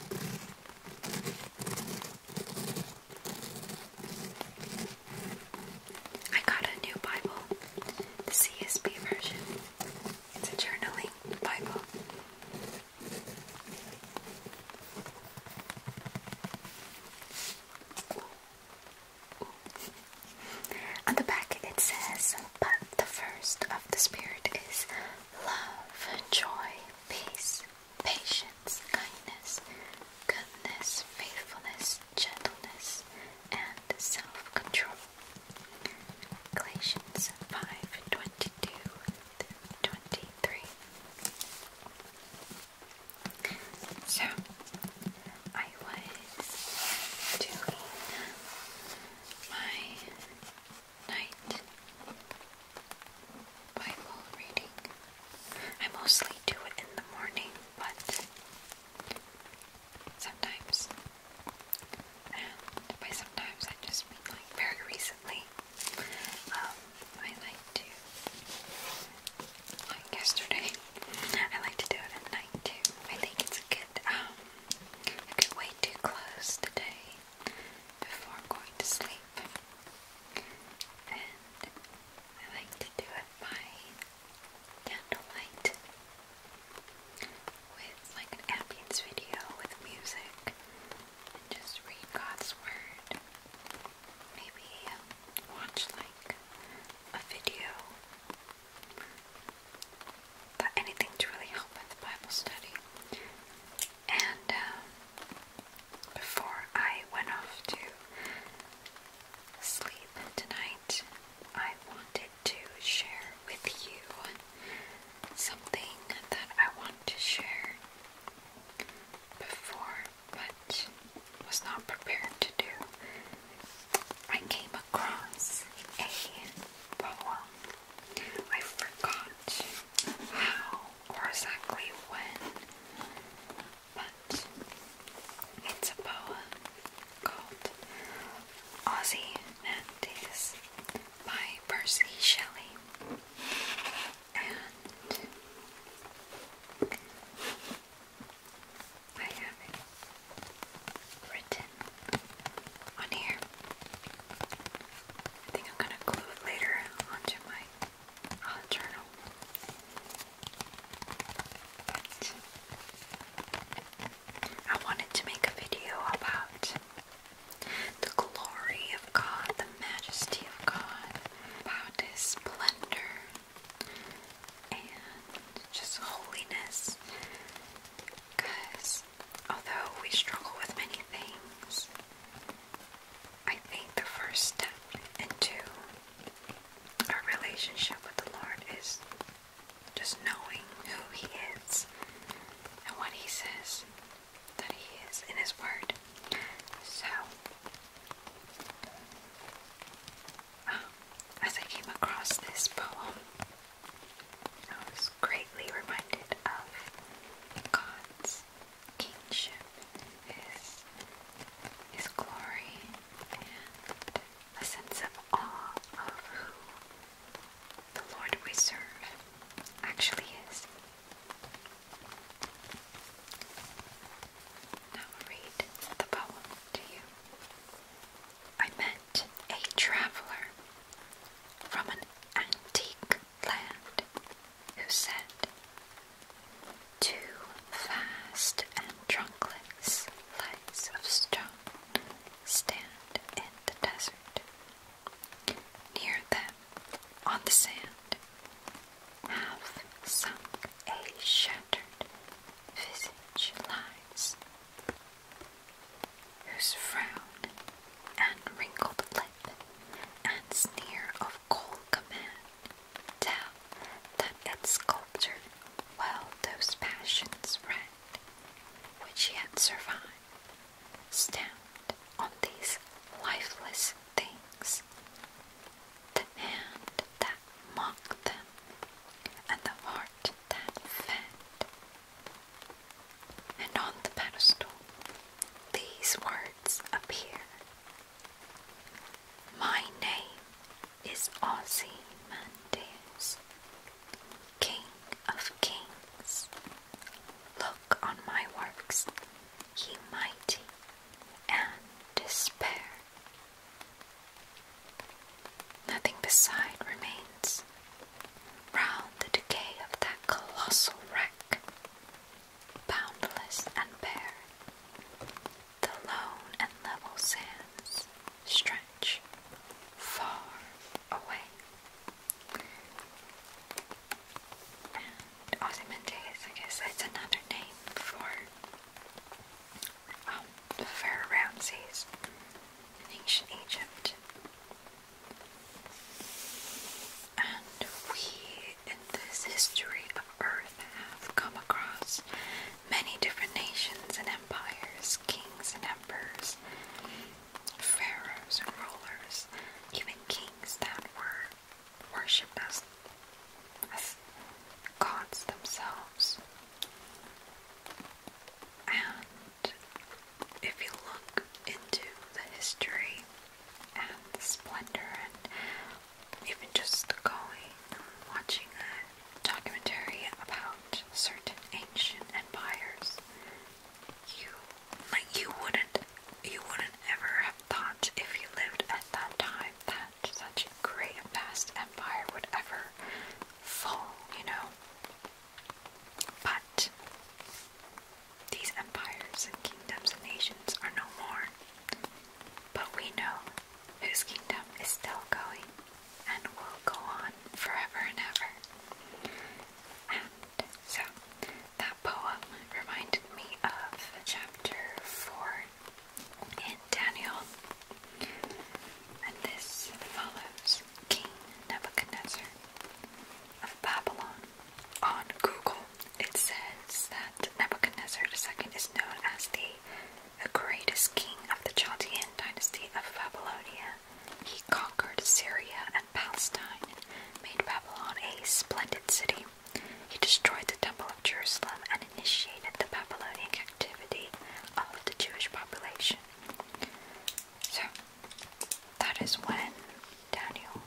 I got a new Bible, the CSB version. It's journaling Bible. On the back it says, but the first of the Spirit is love, joy, peace, patience, kindness, goodness, faithfulness, gentleness, and self control. Galatians 5 So, I was doing my night Bible reading. I mostly do it in the morning, but sometimes, and by sometimes I just mean like very recently. Um, I like to, like yesterday, I like to do it at night too. I think it's good, um, a good way to close the before going to sleep. And I like to do it by candlelight with like an ambience video with music and just read God's Word. Maybe um, watch like a video. anything to really help with Bible study and um, before I went off to sleep tonight, I wanted to share with you something that I want to share before but was not prepared to do. I came across a poem I forgot how or exactly when, but it's a poem called Aussie Nantes by Percy Shelley. And I have it written on here. I think I'm gonna glue it later onto my uh, journal. But I wanted to make a video about the glory of God, the majesty of God, about His splendor and just holiness. Because Although we struggle with many things, I think the first step into our relationship with the Lord is just knowing who He is and what He says that He is in His Word. So, um, as I came across this poem, I was greatly reminded of God's kingship, his, his glory, and a sense of awe of who the Lord we serve actually is. Now read the poem to you. I met a traveler from an antique land who said, Too fast and trunkless lights of stone stand in the desert. Near them, on the sand, half sunk a shattered visage lies whose frown and wrinkled lip and sneer of cold command tell that its sculptor well those passions read which yet survive stamped on these lifeless things the hand that mocked them and the heart that fed and on the pedestal, these words appear My name is Ozymandias, King of Kings. Look on my works, ye mighty, and despair. Nothing beside remains round the decay of that colossal wreck, boundless and bare, the lone and level sands stretch far away. And I guess that's another name for um, Pharaoh Ramses ancient Egypt. And we, in this history of Earth, have come across many different nations and empires, kings and emperors, pharaohs and rulers, even kings that were worshipped as, as gods themselves. And if you look into the history and the splendor, and even just going and watching a documentary about certain ancient empires, you like you wouldn't you wouldn't ever have thought if you lived at that time that such a great and vast empire would ever fall, you know. But these empires and kingdoms and nations are no more. But we know whose kingdom is still going and will go on forever and ever. And so that poem reminded me of chapter 4 in Daniel and this follows King Nebuchadnezzar of Babylon. On Google, it says that Nebuchadnezzar II is known as the greatest king of the Chaldean dynasty of Babylonia. He conquered Syria and Palestine, made Babylon a splendid city. He destroyed the Temple of Jerusalem and initiated the Babylonian captivity of the Jewish population. So that is when Daniel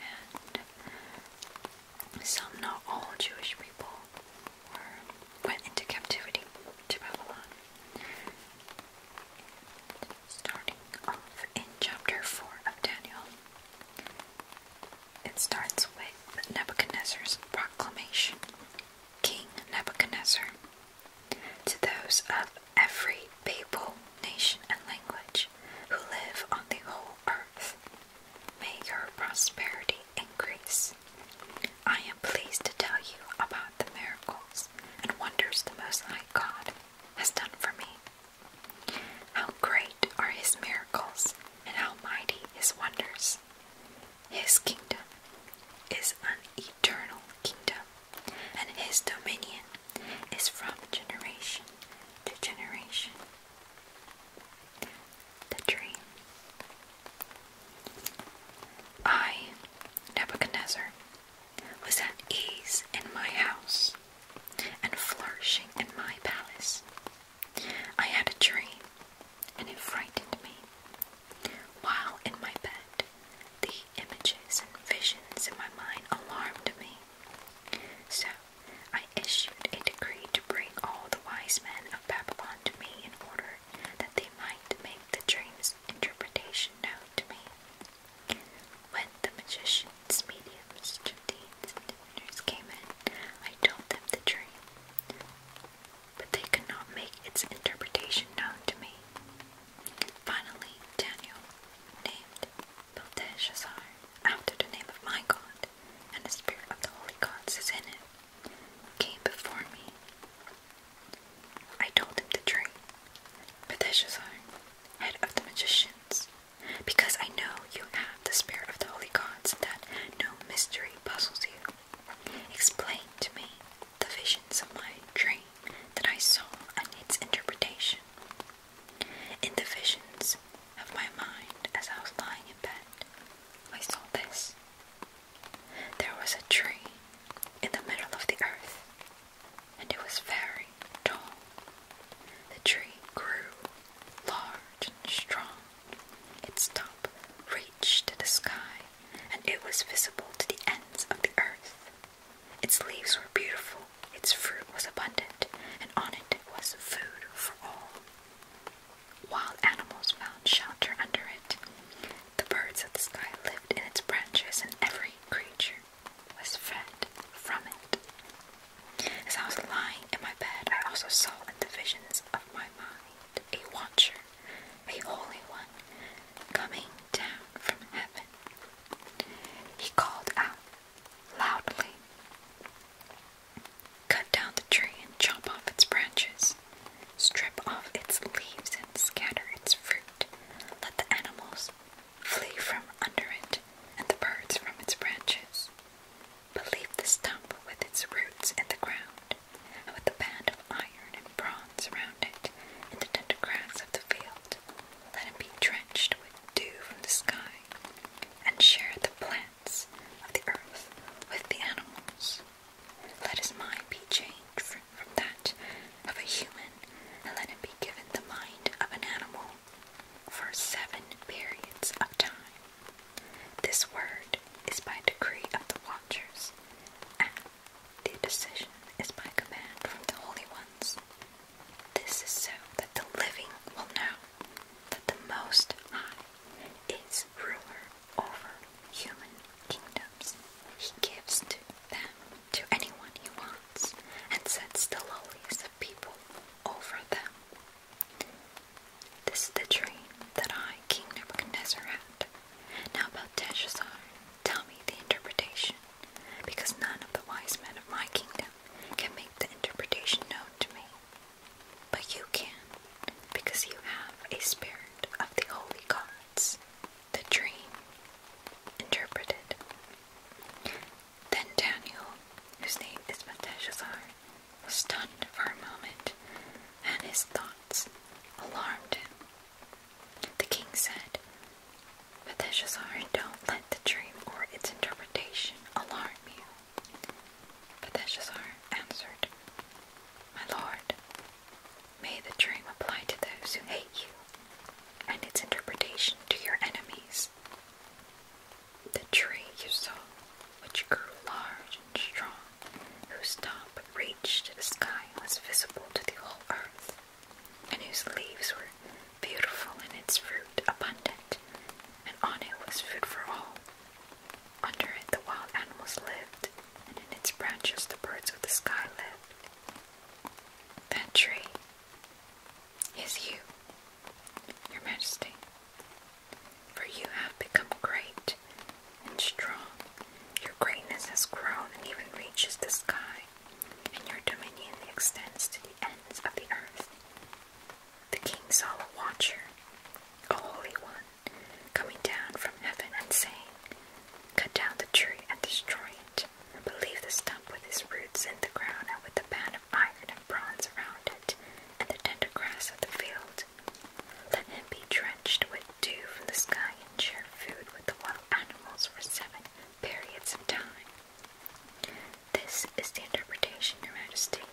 and some, not all, Jewish people were went into captivity to Babylon. Starting off in chapter four of Daniel, it starts with Nebuchadnezzar's proclamation. King Nebuchadnezzar to those of every people, nation, and language who live on the whole earth. May your prosperity increase. I am pleased to tell you about the miracles and wonders the Most High God has done for me. How great are His miracles and how mighty His wonders! His kingdom is an eternal kingdom, and his dominion is from generation to generation. The dream. I, Nebuchadnezzar, was at ease in my house and flourishing in my palace. I had a dream, and it frightened me, while in my bed, the images and visions in my mind alarmed me. So I issued a decree to bring all the wise men of Babylon to me in order that they might make the dream's interpretation known to me. When the magicians, mediums, diviners came in, I told them the dream but they could not make its interpretation known to me. Finally, Daniel, named Belteshazzar, after the name of my God, and the spirit of the holy gods is in it, came before me. I told him the dream. Belteshazzar, head of the magicians, because I know you have the spirit of the holy gods that no mystery puzzles you. Explain to me the visions of my dream that I saw and its interpretation. In the visions of my mind as I was lying in bed, I saw this. There was a tree in the middle of the earth, and it was very tall. The tree grew large and strong. Its top reached to the sky, and it was visible to the ends of the earth. Its leaves were beautiful, its fruit was abundant, and on it was food for all. Wild animals found shelter under it. The birds of the sky lived in its branches, and every creature was fed from it. As I was lying in my bed, I also saw in the visions of my mind a watcher a holy one coming down from heaven. He called out loudly, Cut down the tree and chop off its branches, strip off its leaves and scatter its fruit. Let the animals flee from under it and the birds from its branches. But leave the stump with its roots in the ground, and with the band of iron and bronze around it, in the tender grass of the field, let him be drenched with dew from the sky, and share the plants of the earth with the animals. Let his mind be changed from that of a human, and let him be given the mind of an animal for seven periods of time. This word is by decree of the watchers the decision is by command from the holy ones. This is so that the living will know that the Most High is ruler over human kingdoms. He gives to them to anyone he wants and sets the lowest of people over them. This is the dream that I, King Nebuchadnezzar, had. Now, Belteshazzar, tell me the interpretation, because none of the wise men of my kingdom can make the interpretation known to me. But you can, because you have a spirit of the holy gods. The dream interpreted. Then Daniel, whose name is Belteshazzar, stunned for a moment, and his thoughts alarmed him. The king said, Betheshazzar, don't let the dream or its interpretation alarm you. Betheshazzar answered, My lord, may the dream apply to those who hate you, and its interpretation to your enemies. The tree you saw, which grew large and strong, whose top reached the sky and was visible to the whole earth, and whose leaves were beautiful and its fruit abundant, and on it was food for all. Under it the wild animals lived, and in its branches the birds of the sky lived. That tree is you, Your Majesty, for you have become great and strong. Your greatness has grown and even reaches the sky, and your dominion extends to the ends of the earth. The king saw a watcher, a holy one, coming down from heaven and saying, Cut down the tree and destroy it, but leave the stump with its roots in the ground and with the band of iron and bronze around it, and the tender grass of the field it. Let him be drenched with dew from the sky and share food with the wild animals for seven periods of time. This is the interpretation, Your Majesty,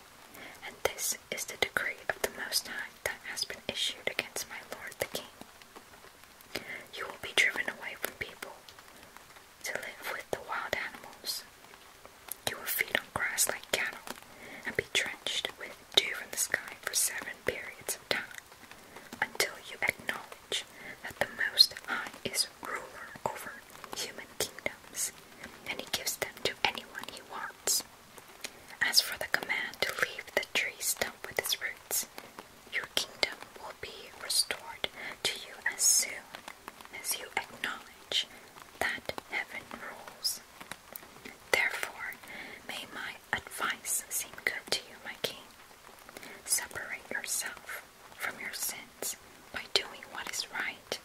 and this is the decree of the Most High that has been issued against my lord the king. You will be driven away from people to live with the wild animals. You will feed on grass like cattle and be drenched with dew from the sky for seven periods of time, until you acknowledge that the Most High is ruler over human kingdoms, and he gives them to anyone he wants. As for the command to leave the tree stump with its roots, your kingdom will be restored to you as soon as you acknowledge that heaven rules Therefore, may my advice seem good to you, my king. Separate yourself from your sins by doing what is right,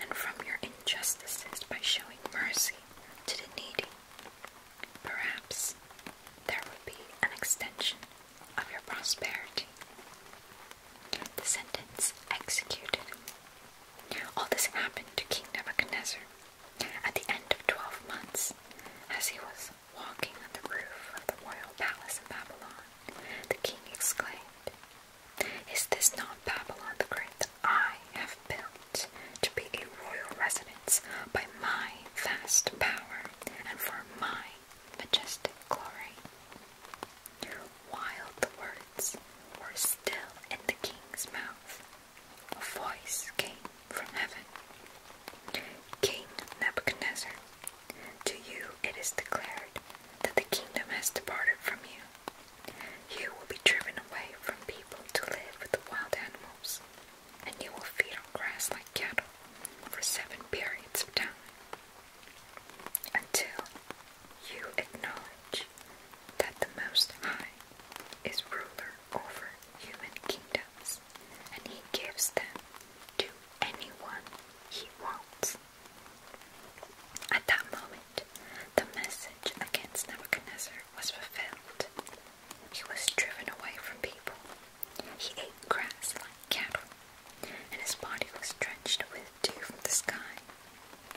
and from your injustices by showing mercy to the needy. Perhaps there will be an extension of your prosperity. The sentence executed all this happened to King Nebuchadnezzar at the end of twelve months, as he was walking on the roof of the royal palace in Babylon. The king exclaimed, Is this not Babylon the Great that I have built to be a royal residence by my vast power and for my majestic glory? while the words were still in the king's mouth, a voice came from heaven King Nebuchadnezzar, to you it is declared that the kingdom has departed from you. You will be driven away from people to live with the wild animals, and you will feed on grass like cattle for seven periods of time until you acknowledge that the Most High is ruler over human kingdoms, and he gives them to anyone he wants. At that moment, the message against Nebuchadnezzar was fulfilled. He was driven away from people. He ate grass like cattle, and his body was drenched with deer from the sky,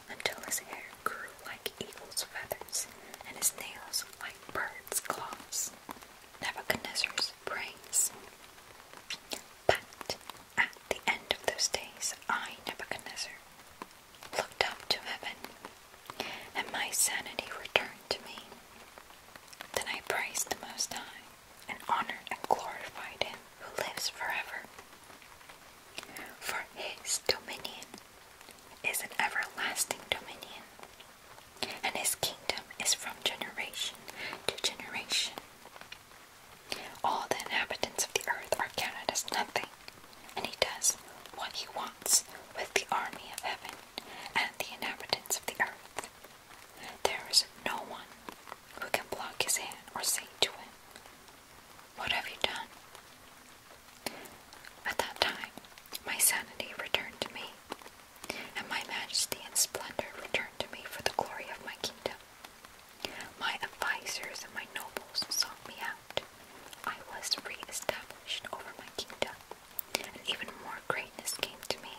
until his hair grew like eagle's feathers and his nails like birds' claws. Nebuchadnezzar's praise. But at the end of those days, I, Nebuchadnezzar, looked up to heaven, and my sanity returned to me. Then I praised the Most High, and honored and glorified Him, who lives forever. For his dominion is an everlasting dominion, and his kingdom is from generation to generation. All the inhabitants of the earth are counted as nothing, and he does what he wants with the army of heaven and the inhabitants of the earth. There is no one who can block his hand or say to him, what have you done? At that time, my sanity returned to me, and my majesty and splendor returned to me for the glory of my kingdom. My advisors and my nobles sought me out. I was re established over my kingdom, and even more greatness came to me.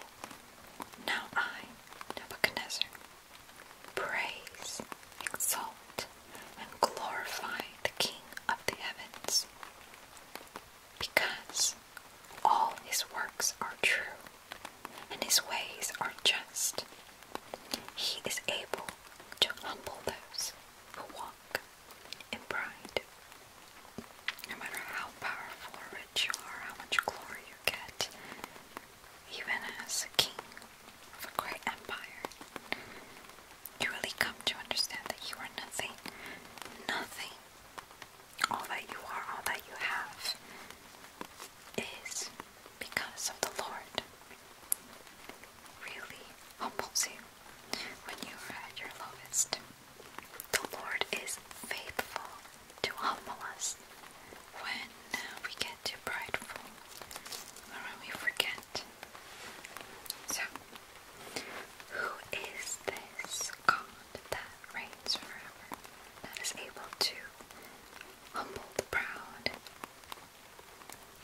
Now I, Nebuchadnezzar, Praise, exalt, and glorify the King of the heavens, because all his works are true, and his ways are just. He is able to humble those who walk in pride. No matter how powerful or rich you are, how much glory you get, even as king of a great empire, you really come to understand that you are nothing, nothing. All that you are, all that you have, is because of the Lord. Really humbles you when you are at your lowest. The Lord is faithful to humble us when we get too prideful or when we forget. So, who is this God that reigns forever, that is able to humble the proud,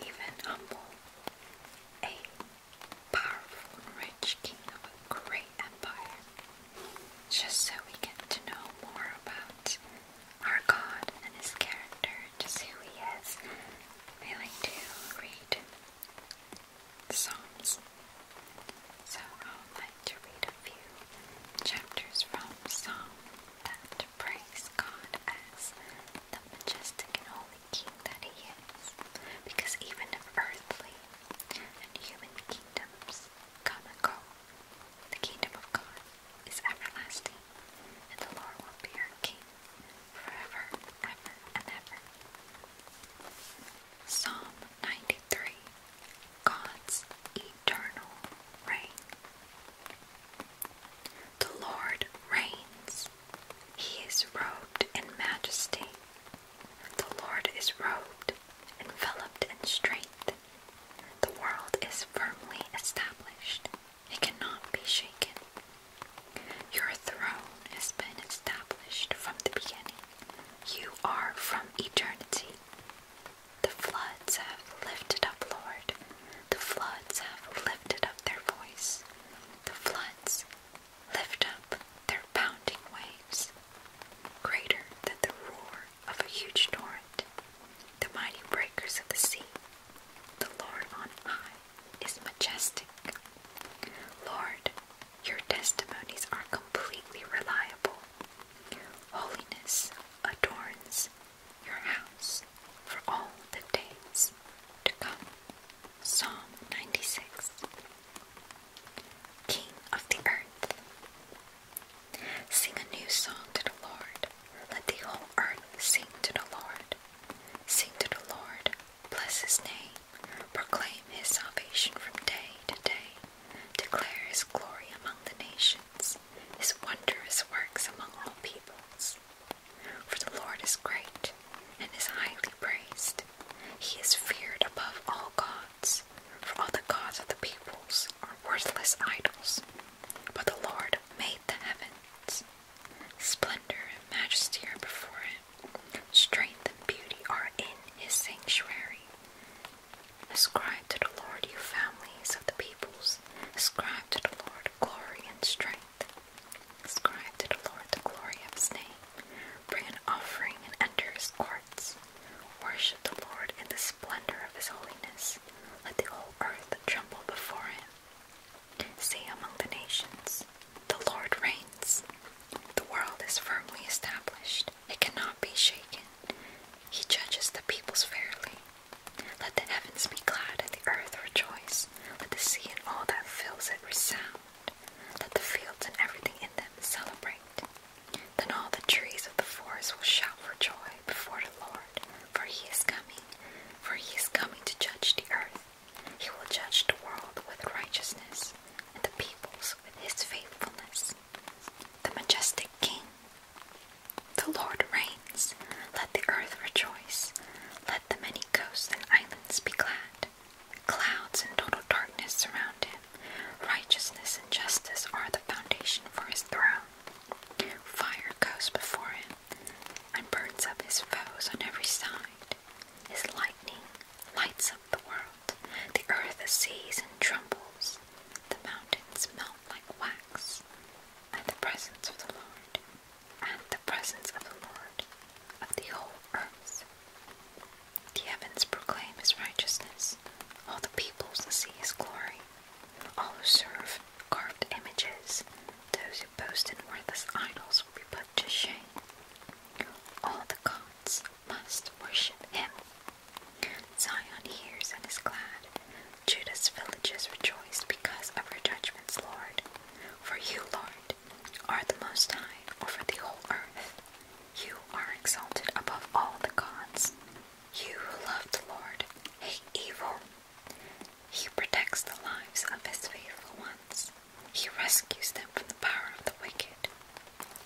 even humble a powerful rich king of a great empire? Just so we get to know more about our God and His character, just who He is. I like to read Psalms, so I would like to read a few chapters from Psalm that praise God as the majestic and holy King that He is, because even if earthly and human kingdoms come and go, the kingdom of God is everlasting, and the Lord will be our King forever, ever, and ever. Psalm 93 God's Eternal Reign. The Lord reigns, He is robed in majesty. The Lord is robed, enveloped in strength. The world is firmly established, it cannot be shaken. Your throne has been established from the beginning. You are from eternity. The floods have lifted up, Lord. The floods have lifted up their voice. The floods lift up their pounding waves. Greater than the roar of a huge torrent, the mighty breakers of the sea. The Lord on high is majestic. Lord, your testimonies are completely reliable. Holiness adorns your house for all the days to come. Psalm 96 King of the earth, Sing a new song to the Lord. Let the whole earth sing to the Lord. Sing to the Lord. Bless his name. Proclaim his salvation from day to day. Declare his glory among the nations, his wondrous works among all peoples. For the Lord is great and is highly praised. He is feared above all gods, for all the gods of the peoples are worthless idols but the Lord made the heavens. Splendor and majesty are before him. Strength and beauty are in his sanctuary. Ascribe to the Lord, you families of the peoples. Ascribe to the Lord glory and strength. Ascribe to the Lord the glory of his name. Bring an offering and enter his courts. Worship the Lord in the splendor of his holiness let the whole earth tremble before him. Say among the nations, The Lord reigns. The world is firmly established, it cannot be shaken. He judges the peoples fairly. Let the heavens be glad and the earth rejoice. Let the sea and all that fills it resound. Let the fields and everything in them celebrate. Then all the trees of the forest will shout for joy before the Lord, for he is coming, for he is coming to judge the earth. He will judge the world with righteousness, and the peoples with his faithfulness. The majestic King. The Lord reigns. Let the earth rejoice. Let the many coasts and islands be glad. Clouds and total darkness surround him. Righteousness and justice are the foundation for his throne. Fire goes before him and burns up his foes on every side. His lightning lights up the world. The earth sees and trembles. The mountains melt like wax at the presence of the Lord, at the presence of the Lord of the whole earth. The heavens proclaim his righteousness, all the peoples see his glory. All who serve carved images, those who boast in worthless idols will be put to shame. All the gods must worship him. Zion hears and is glad. Judah's villages rejoice because of your judgments, Lord. For you, Lord, are the Most High over the whole earth. You are exalted above all the gods. You who love the Lord hate evil. He protects the lives of his faithful ones. He rescues them from the power of the wicked.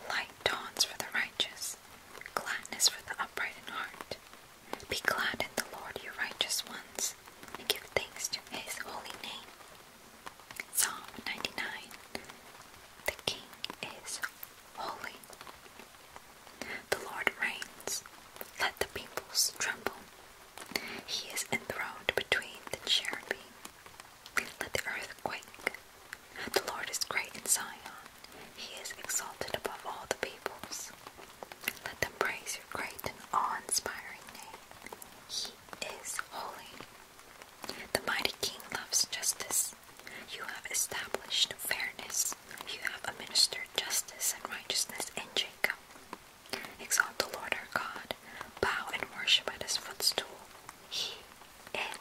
Light dawns for the righteous, gladness for the upright in heart. Be glad in the Lord, you righteous ones, and give thanks to his holy name. Psalm 99 The King is holy. The Lord reigns, let the peoples tremble. He is enthroned between the cherubim, let the earth quake. The Lord is great in Zion, he is exalted above all the peoples. Let them praise your great and awe inspiring name. He is holy. The mighty king loves justice. You have established fairness. You have administered justice and righteousness in Jacob. Exalt the Lord our God. Bow and worship at his footstool. He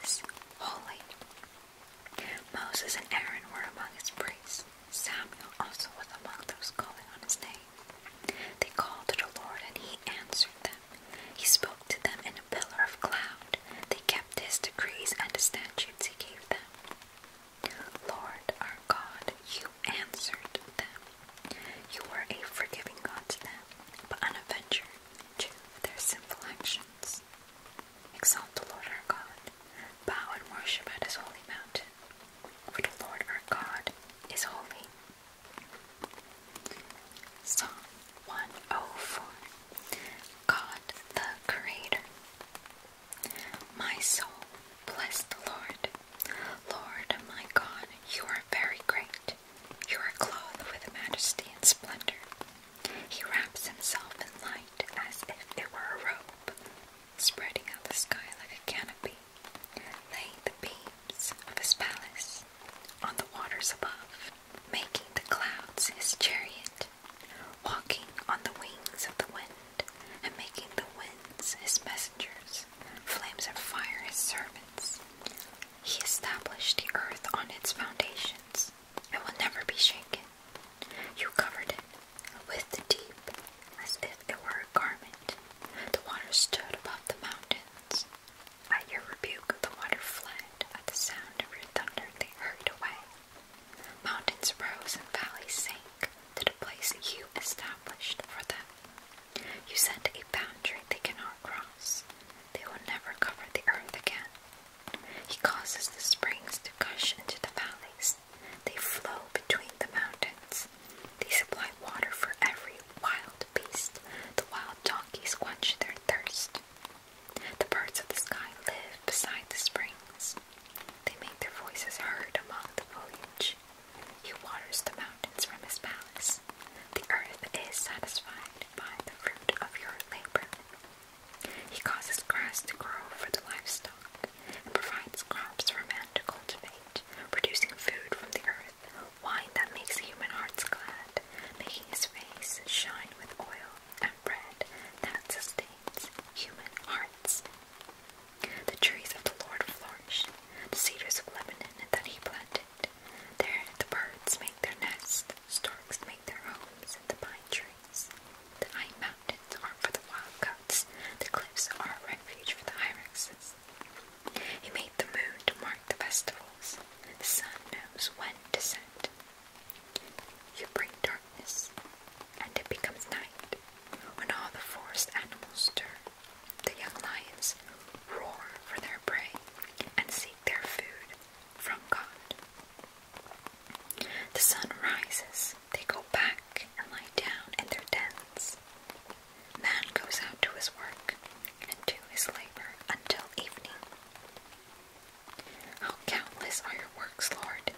is holy. Moses and Aaron were among his priests. Samuel also was among those calling on his name. They called to the Lord and he answered them. He spoke to them in pillar of cloud. They kept his decrees and the statutes he gave them. Lord our God, you answered them. You were a forgiving God to them, but an avenger to their sinful actions. Exalt the Lord our God. Bow and worship at his holy mountain. For the Lord our God is holy. Psalm 104 God the Creator. My soul, bless the Lord. Lord my God, you are very great. You are clothed with majesty and splendor. He wraps himself in light as if it were a robe, spreading out the sky like a canopy. Lay the beams of his palace on the waters above making the clouds his chariot, walking on the wings of the wind, and making the winds his messengers, flames of fire his servants. He established the earth on its foundations, and will never be shaken. You covered it with the deep as if it were a garment. The water stood above the mountains. At your rebuke, the water fled. At the sound of your thunder they hurried away. Mountains rose and valleys sank to the place you established for them. You set a boundary they cannot cross. They will never cover the earth again. He causes the springs to gush into the valleys. They flow between the mountains. They supply water for every wild beast. The wild donkeys quench their thirst. The birds of the sky live beside the springs. They make their voices heard among the foliage. He waters the mountains from his palace. The earth is satisfied by the fruit of your labor. He causes grass to grow for the livestock and provides crops for man to cultivate, producing food from the earth, wine that makes human hearts glad, making his face shine with oil bread that sustains human hearts. The trees of the Lord flourish, the cedars of Lebanon that he planted. There the birds make their nests, storks make their homes in the pine trees. The high mountains are for the wild goats, the cliffs are a refuge for the hyraxes. He made the moon to mark the festivals. The sun knows when to set, you bring darkness, and it becomes night. When all the forest animals stir, the young lions roar for their prey and seek their food from God. The sun rises, they go back and lie down in their dens. Man goes out to his work and to his labor until evening. How countless are your works, Lord!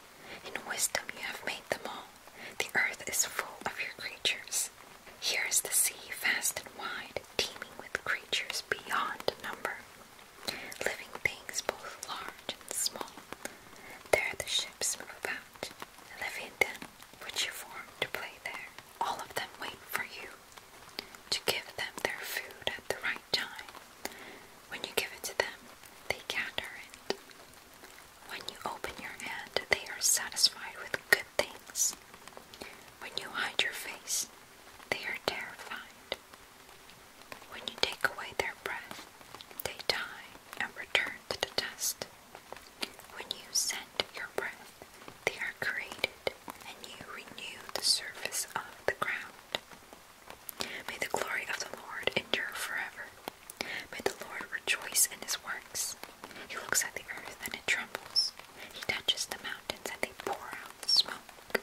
In wisdom you have made them all. The earth is full of your creatures. Here is the sea, vast and wide, teeming with creatures beyond number, living things both large and small. There the ships move about. Leviathan, which you formed to play there, all of them wait for you to give them their food at the right time. When you give it to them, they gather it. When you open your hand, they are satisfied with good things. When you hide your face, they are terrified. When you take away their breath, they die and return to the dust. When you send your breath, they are created, and you renew the surface of the ground. May the glory of the Lord endure forever. May the Lord rejoice in his works. He looks at the earth and it trembles. He touches the mountains and they pour out smoke.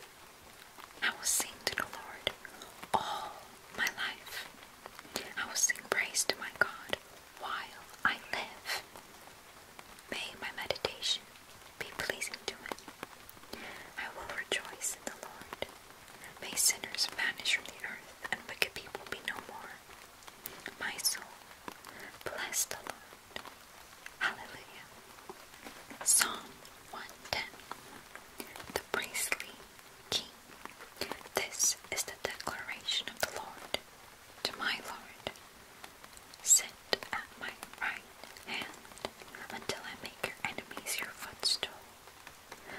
I will sing to the Lord all my life. I will sing praise to my God while I live. May my meditation be pleasing to him. I will rejoice in the Lord. May sinners vanish from the earth and wicked people be no more. My soul, bless the Lord. Hallelujah. Psalm 110 The Priestly King. This is the declaration of the Lord to my Lord Sit at my right hand until I make your enemies your footstool.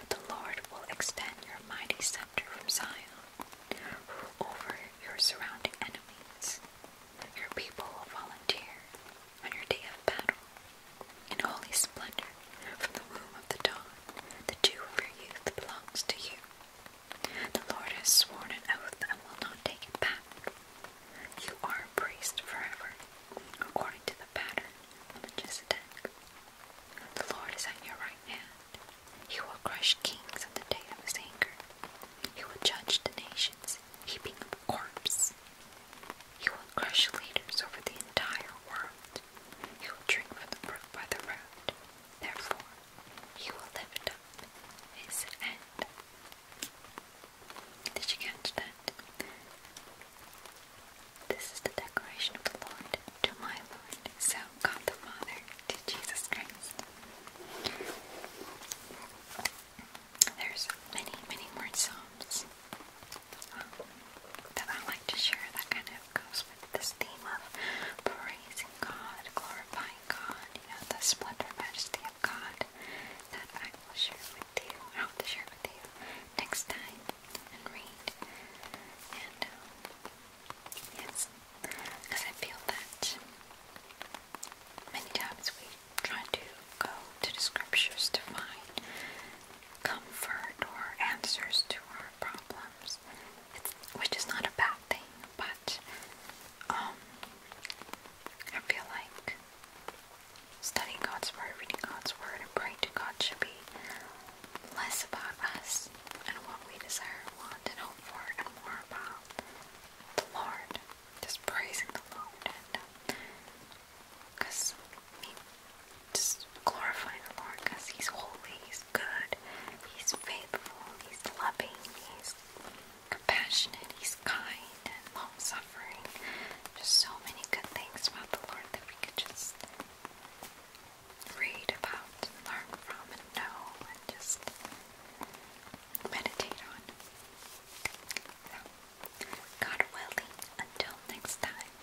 The Lord will extend your mighty scepter from Zion, rule over your surrounding enemies. Your people will volunteer on your day of battle. In holy splendor, from the womb of the dawn, the dew of your youth belongs to you. The Lord has sworn an oath and will not take it back. You are a priest forever, according to the pattern on the Melchizedek. The Lord is at your right hand. He will crush kings on the day of his anger. He will judge the nations, heaping up corpse. He will crush leaders over the entire world. He will drink from the brook by the road. Therefore, he will lift up his head. Did you catch that? This is the declaration of Lord to my Lord, so God the Father, to Jesus Christ. There's many, many more psalms um, that I like to share that kind of goes with this theme of praising God, glorifying God, you know, the splendor, majesty of God that I will share with you. I hope to share with you next time and um, yes, because I feel that many times we try to go to the scriptures to find comfort or answers to our problems, which is not a bad thing, but that um, I feel like studying God's Word, reading God's Word, and praying to God should be less about us and what we desire, want, and hope for, and more about the Lord. Just praising the Lord um, just glorifying the Lord because He's holy, He's good, He's faithful, He's loving, He's compassionate, He's kind and long suffering. Just so many good things about the Lord that we could just read about, learn from, and know, and just meditate on. God willing, until next time.